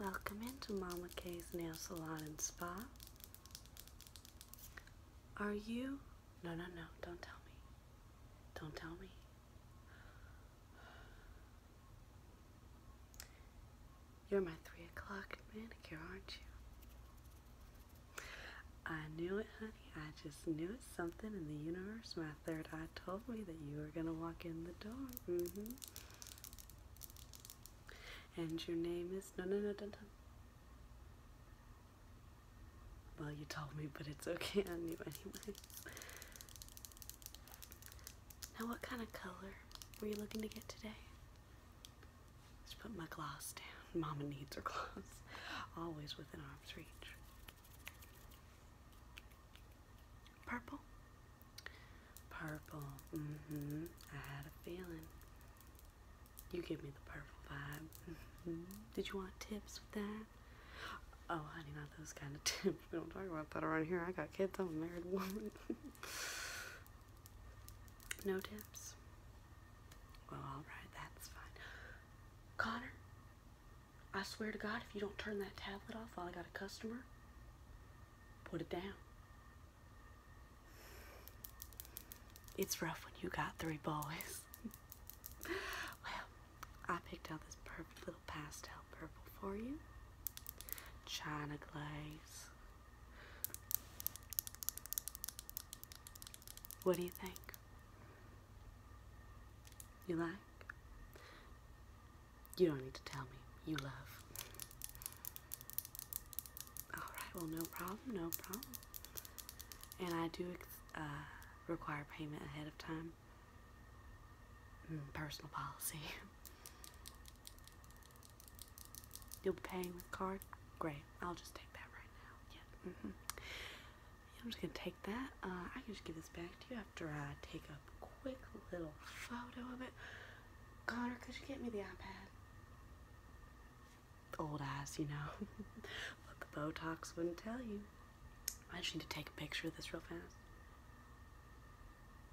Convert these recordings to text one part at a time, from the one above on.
Welcome into Mama K's Nail Salon and Spa. Are you? No, no, no, don't tell me. Don't tell me. You're my three o'clock manicure, aren't you? I knew it, honey. I just knew it. Something in the universe, my third eye told me that you were going to walk in the door. Mm-hmm. And your name is no no no no Well, you told me, but it's okay. I knew anyway. Now, what kind of color were you looking to get today? Just put my gloss down. Mama needs her gloss, always within arm's reach. Purple. Purple. Mm hmm. I had a feeling. You give me the purple vibe. Mm-hmm. Did you want tips with that? Oh, honey, not those kind of tips. We don't talk about that around here. I got kids. I'm a married woman. no tips? Well, alright, that's fine. Connor, I swear to God, if you don't turn that tablet off while I got a customer, put it down. It's rough when you got three boys. well, I picked out this perfect little pastel purple for you. China glaze. What do you think? You like? You don't need to tell me. You love. Alright, well, no problem, no problem. And I do uh, require payment ahead of time. Mm, personal policy. You'll be paying with card? Great. I'll just take that right now. Yeah. -hmm. I'm just going to take that. Uh, I can just give this back to you after I take a quick little photo of it. Connor, could you get me the iPad? Old ass, you know. But the Botox wouldn't tell you. I just need to take a picture of this real fast.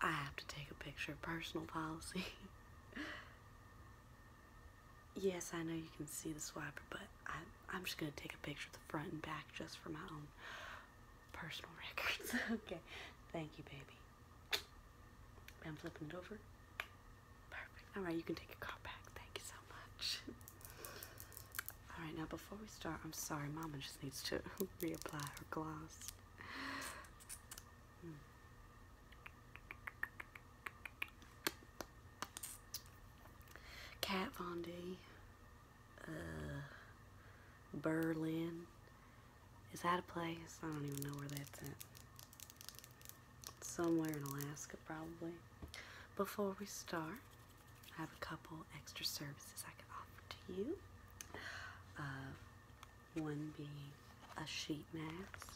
I have to take a picture. of Personal policy. yes, I know you can see the swiper, but I'm just going to take a picture of the front and back just for my own personal records. okay. Thank you, baby. I'm flipping it over. Perfect. All right, you can take your car back. Thank you so much. All right, now before we start, I'm sorry, Mama just needs to reapply her gloss. Hmm. Kat Von D. Uh, Berlin. Is that a place? I don't even know where that's at. Somewhere in Alaska, probably. Before we start, I have a couple extra services I can offer to you. Uh, one being a sheet mask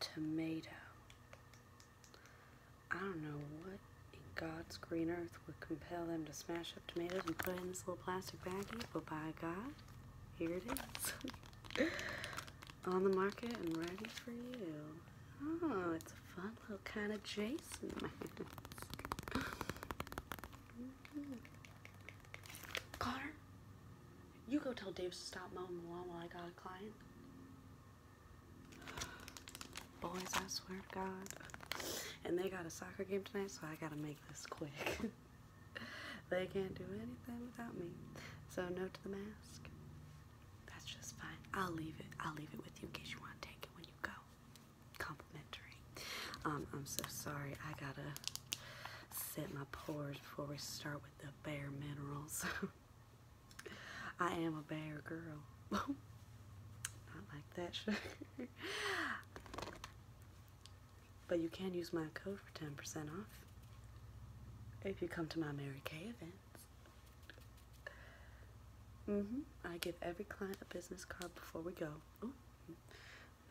tomato. I don't know what in God's green earth would compel them to smash up tomatoes and put it in this little plastic baggie, but by God, here it is. On the market and ready for you. Oh, it's a fun little kind of Jason mask. Mm-hmm. You go tell Dave to stop mowing the lawn while I got a client. Boys, I swear to God. And they got a soccer game tonight, so I gotta make this quick. they can't do anything without me. So no to the mask. That's just fine. I'll leave it. I'll leave it with you in case you want to take it when you go. Complimentary. Um, I'm so sorry. I gotta set my pores before we start with the bare minerals. I am a bare girl. Not like that sugar. but you can use my code for 10% off if you come to my Mary Kay events. Mm hmm I give every client a business card before we go.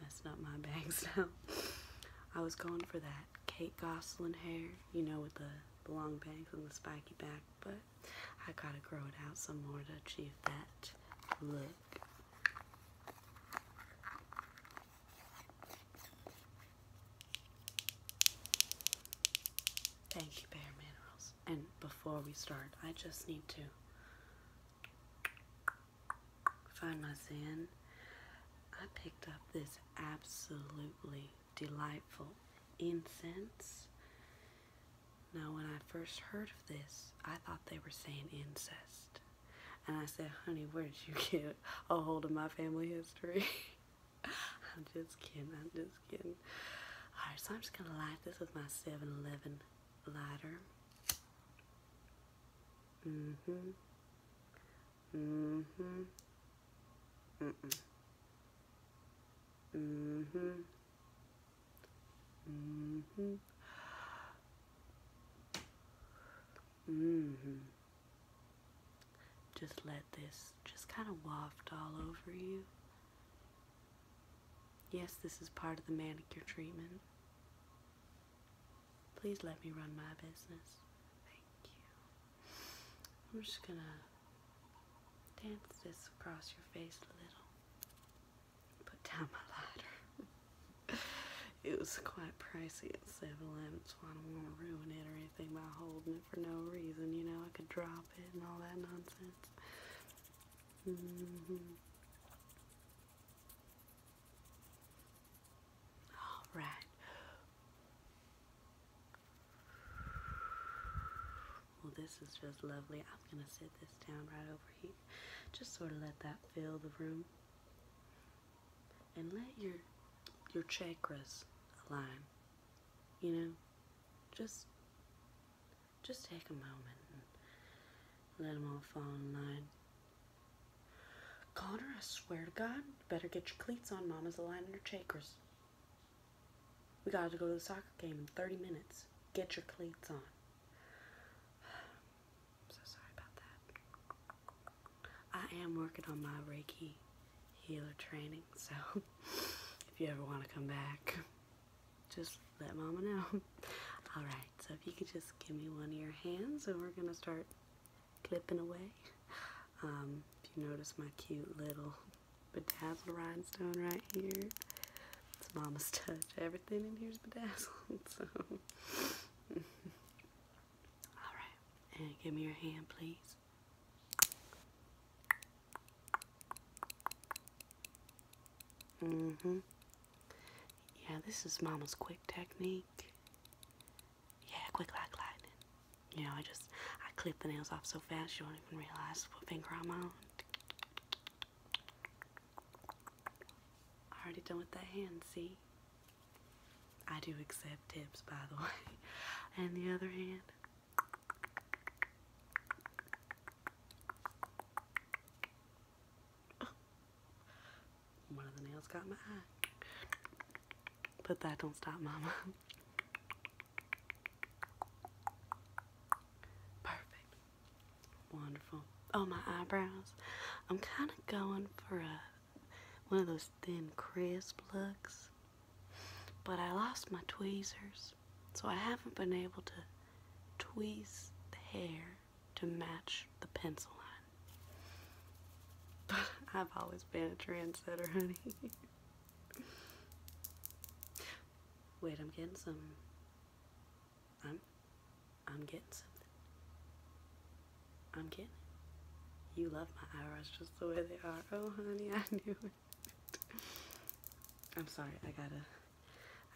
That's not my bag now. I was going for that Kate Gosselin hair, you know, with the, the long bangs and the spiky back, but I gotta grow it out some more to achieve that look. Thank you, Bare Minerals. And before we start, I just need to find my zen, I picked up this absolutely delightful incense. Now, when I first heard of this, I thought they were saying incest. And I said, honey, where did you get a hold of my family history? I'm just kidding, I'm just kidding. Alright, so I'm just going to light this with my 7-Eleven lighter. Mm-hmm. hmm hmm hmm hmm Just let this just kind of waft all over you. Yes, this is part of the manicure treatment. Please let me run my business. Thank you. I'm just gonna dance this across your face a little. Put down my lighter. it was quite pricey at 7 Eleven, so I don't want to ruin it or anything by holding it for no reason. You know, I could drop it and all that nonsense. Mm-hmm. All right. Well, this is just lovely. I'm going to sit this down right over here. Just sort of let that fill the room. And let your your chakras align. You know, just just take a moment and let them all fall in line. Connor, I swear to God, better get your cleats on. Mama's aligning her chakras. We gotta go to the soccer game in 30 minutes. Get your cleats on. I'm so sorry about that. I am working on my Reiki healer training, so if you ever want to come back, just let Mama know. Alright, so if you could just give me one of your hands and we're going to start clipping away. Um, if you notice my cute little bedazzled rhinestone right here, it's mama's touch. Everything in here's bedazzled, so. Alright, and give me your hand, please. Mm-hmm. Yeah, this is Mama's quick technique. Yeah, quick like lightning. You know, I just I clip the nails off so fast you don't even realize what finger I'm on. I already done with that hand, see? I do accept tips, by the way. And the other hand. One of the nails got my eye. But that don't stop mama. Perfect. Wonderful. Oh, my eyebrows. I'm kind of going for a one of those thin crisp looks. But I lost my tweezers. So I haven't been able to tweeze the hair to match the pencil line. But I've always been a trendsetter, honey. Wait, I'm getting some. I'm. I'm getting something. I'm getting. You love my eyebrows just the way they are. Oh, honey, I knew it. I'm sorry, I gotta.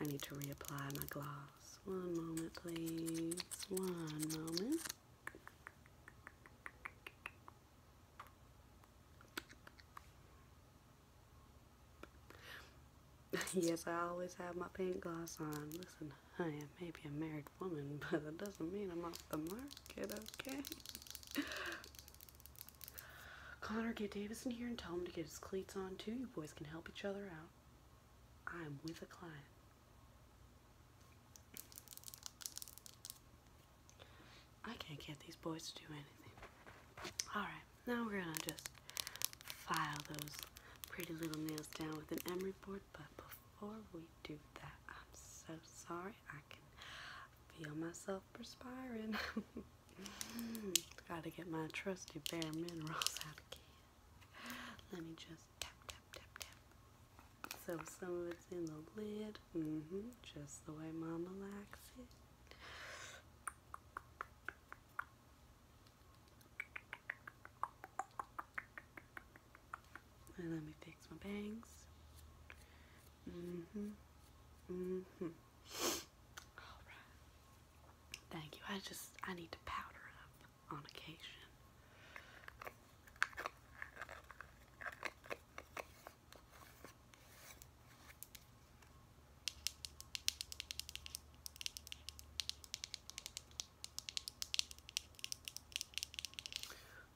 I need to reapply my gloss. One moment, please. One moment. yes, I always have my pink gloss on. Listen, honey, I may be a married woman, but that doesn't mean I'm off the market, okay? Connor, get Davison here and tell him to get his cleats on too. You boys can help each other out. I'm with a client. I can't get these boys to do anything. Alright, now we're gonna just file those pretty little nails down with an emery board, but before we do that, I'm so sorry. I can feel myself perspiring. Gotta get my trusty bare minerals out again. Let me just tap, tap, tap, tap. So some of it's in the lid. Mm -hmm. Just the way Mama likes it. And let me fix my bangs. Mm-hmm. Mm-hmm. Alright. Thank you. I just, I need to powder up on occasion.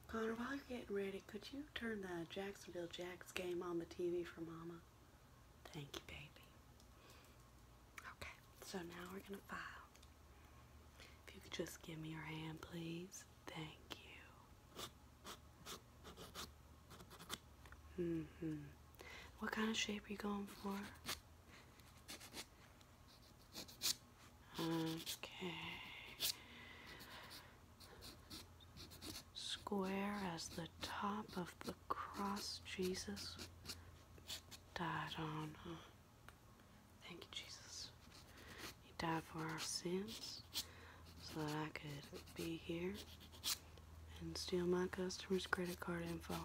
Connor, while you're getting ready, could you turn the Jacksonville Jacks game on the TV for Mama? Thank you, baby. Okay, so now we're gonna file. If you could just give me your hand, please. Thank you. hmm What kind of shape are you going for? Okay square as the top of the cross Jesus died on. Thank you, Jesus. He died for our sins so that I could be here and steal my customer's credit card info.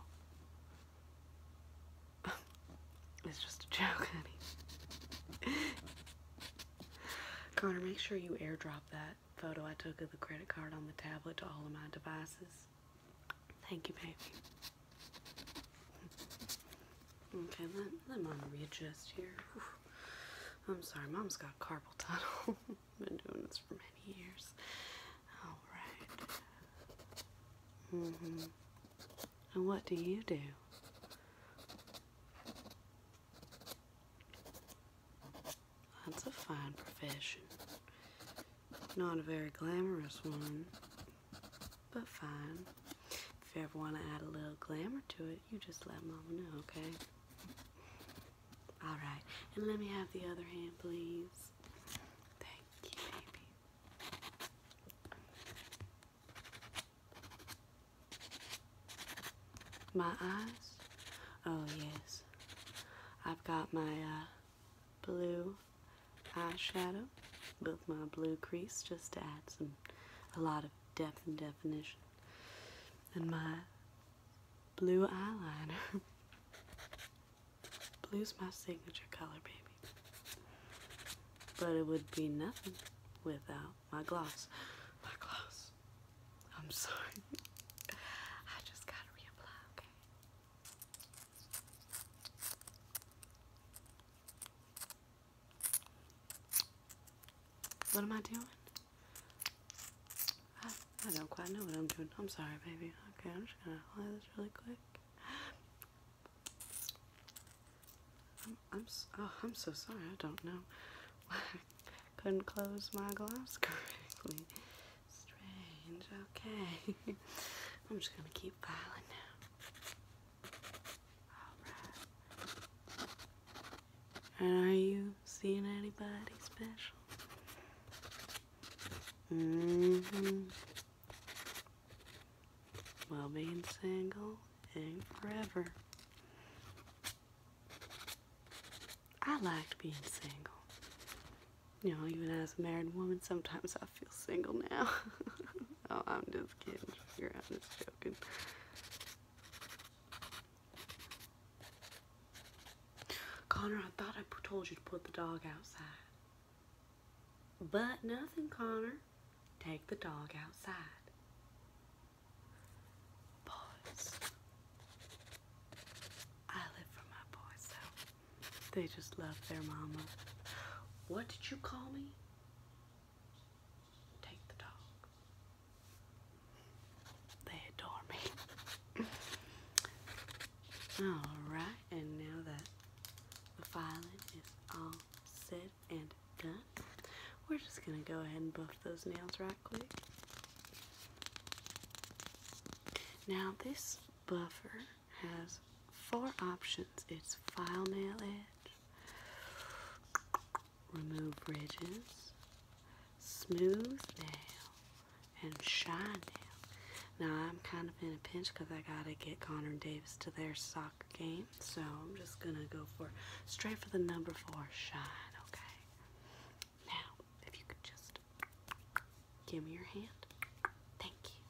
it's just a joke, honey. Connor, make sure you airdrop that photo I took of the credit card on the tablet to all of my devices. Thank you, baby. Okay, let, let mom readjust here. I'm sorry, mom's got carpal tunnel. Been doing this for many years. Alright. Mm hmm And what do you do? That's a fine profession. Not a very glamorous one, but fine. If you ever want to add a little glamour to it, you just let Mama know, okay? Alright, and let me have the other hand, please. Thank you, baby. My eyes? Oh, yes. I've got my uh, blue eyeshadow with my blue crease just to add some a lot of depth and definition. And my blue eyeliner. Blue's my signature color, baby. But it would be nothing without my gloss. My gloss. I'm sorry. I just gotta reapply, okay? What am I doing? I, don't quite know what I'm doing. I'm sorry, baby. Okay, I'm just gonna apply this really quick. I'm, oh, I'm so sorry. I don't know couldn't close my glass correctly. Strange. Okay. I'm just gonna keep filing now. And are you seeing anybody special? Mm-hmm. Well, being single ain't forever. I liked being single. You know, even as a married woman, sometimes I feel single now. oh, I'm just kidding. I'm just joking. Connor, I thought I told you to put the dog outside. But nothing, Connor. Take the dog outside boys. I live for my boys, they just love their mama. What did you call me? Take the dog. They adore me. Alright, and now that the filing is all set and done, we're just going to go ahead and buff those nails right quick. Now, this buffer has four options it's file nail edge, remove ridges, smooth nail, and shine nail. Now, I'm kind of in a pinch because I got to get Connor and Davis to their soccer game, so I'm just going to go for straight for the number four shine, okay? Now, if you could just give me your hand. Thank you.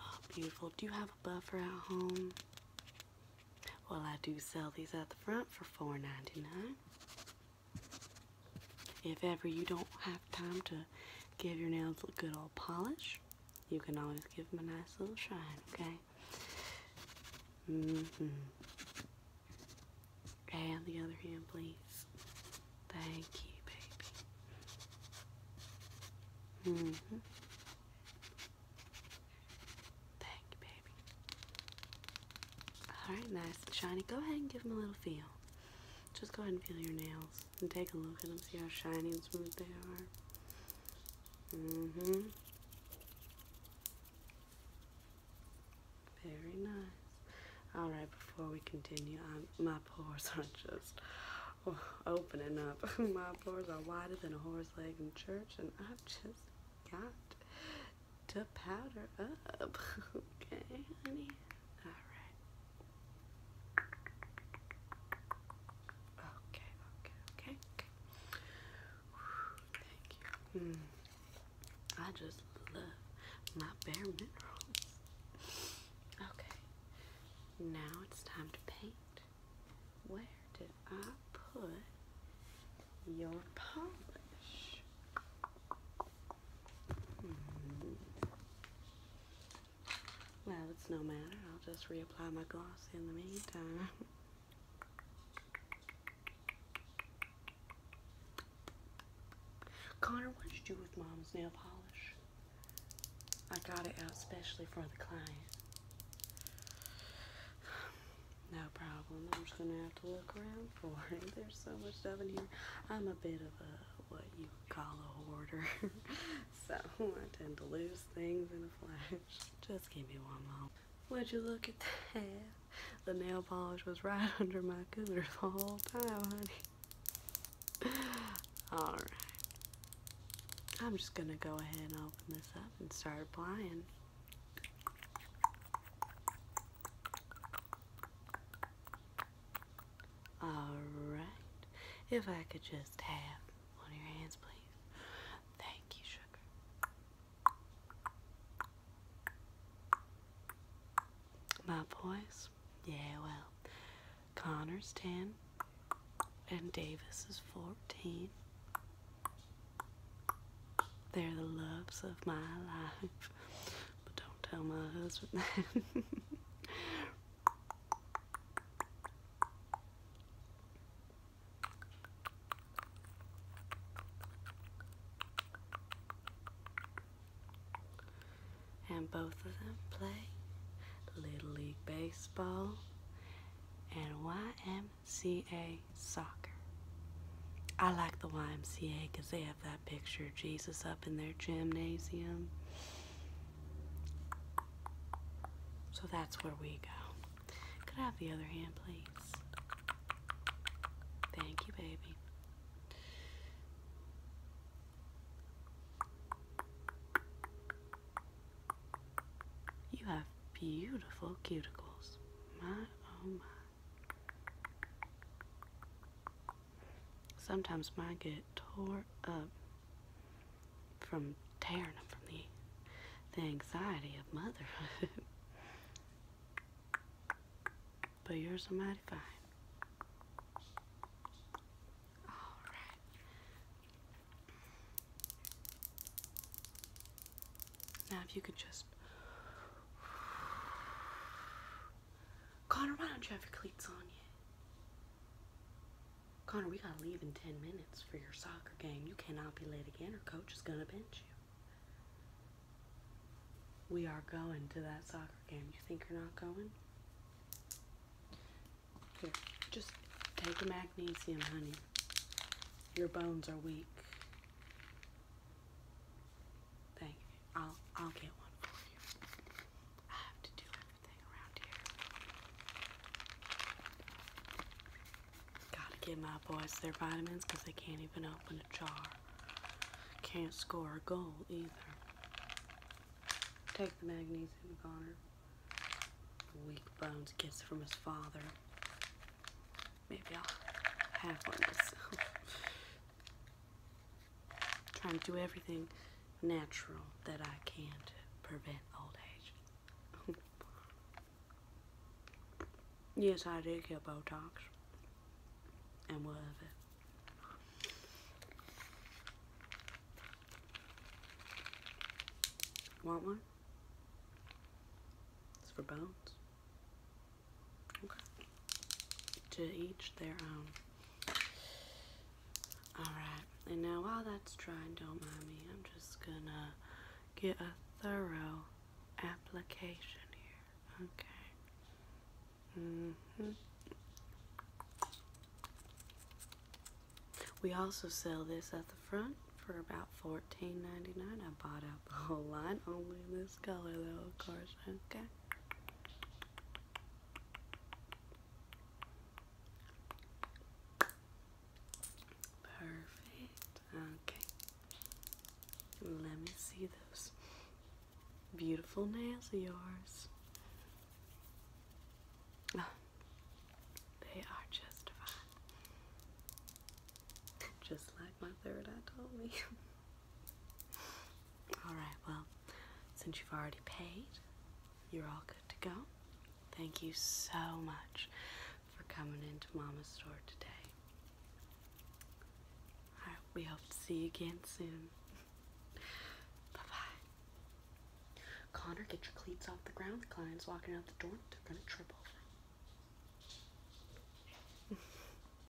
Oh, beautiful. Do you have a buffer at home? Well, I do sell these at the front for $4.99. If ever you don't have time to give your nails a good old polish, you can always give them a nice little shine, okay? Mm-hmm. And the other hand, please. Thank you, baby. Mm hmm. Thank you, baby. Alright, nice and shiny. Go ahead and give them a little feel. Just go ahead and feel your nails and take a look at them, see how shiny and smooth they are. hmm Very nice. Alright, before we continue, um, my pores are just opening up. my pores are wider than a horse leg in church, and I've just got to powder up. okay, honey? Alright. Okay, okay, okay, thank you. Mm. I just love my bare minerals. Okay, now it's time to paint. Where did I put your polish? Hmm. Well, it's no matter. I'll just reapply my gloss in the meantime. Connor, what did you do with Mom's nail polish? I got it out specially for the client. No problem. I'm just going to have to look around for it. There's so much stuff in here. I'm a bit of a, what you call a hoarder. so I tend to lose things in a flash. Just give me one moment. Would you look at that? The nail polish was right under my cooters the whole time, honey. Alright. I'm just gonna go ahead and open this up and start applying. Alright. If I could just have one of your hands, please. Thank you, sugar. My boys? Yeah, well, Connor's 10 and Davis is 14. They're the loves of my life. But don't tell my husband that. And both of them play Little League Baseball and YMCA Soccer. I like the YMCA because they have that picture Jesus up in their gymnasium. So that's where we go. Could I have the other hand, please? Thank you, baby. You have beautiful cuticles. My, oh my. Sometimes mine get tore up from tearing them from the, the anxiety of motherhood. but yours are mighty fine. Alright. Now if you could just Connor, why don't you have your cleats on yet? Connor, we gotta leave in 10 minutes for your soccer game. You cannot be late again, or coach is gonna bench you. We are going to that soccer game. You think you're not going? Here, just take a magnesium, honey. Your bones are weak thing. I'll I'll get one for you. I have to do everything around here. Gotta give my boys their vitamins because they can't even open a jar. Can't score a goal either. Take the magnesium Connor. Weak bones gets from his father. Maybe I'll have one myself trying to do everything natural that I can to prevent old age. yes, I did get Botox and whatever. Want one? It's for bones. To each their own. Alright, and now while that's drying, don't mind me, I'm just gonna get a thorough application here. Okay. Mm-hmm. We also sell this at the front for about $14.99. I bought out the whole lot, only this color though, of course. Okay. Perfect. Okay. Let me see those beautiful nails of yours. Ah, they are justified. Just like my third eye told me. Alright, well, since you've already paid, you're all good to go. Thank you so much for coming into Mama's store today. we hope to see you again soon. bye bye. Connor, get your cleats off the ground. The client's walking out the door. They're gonna trip over.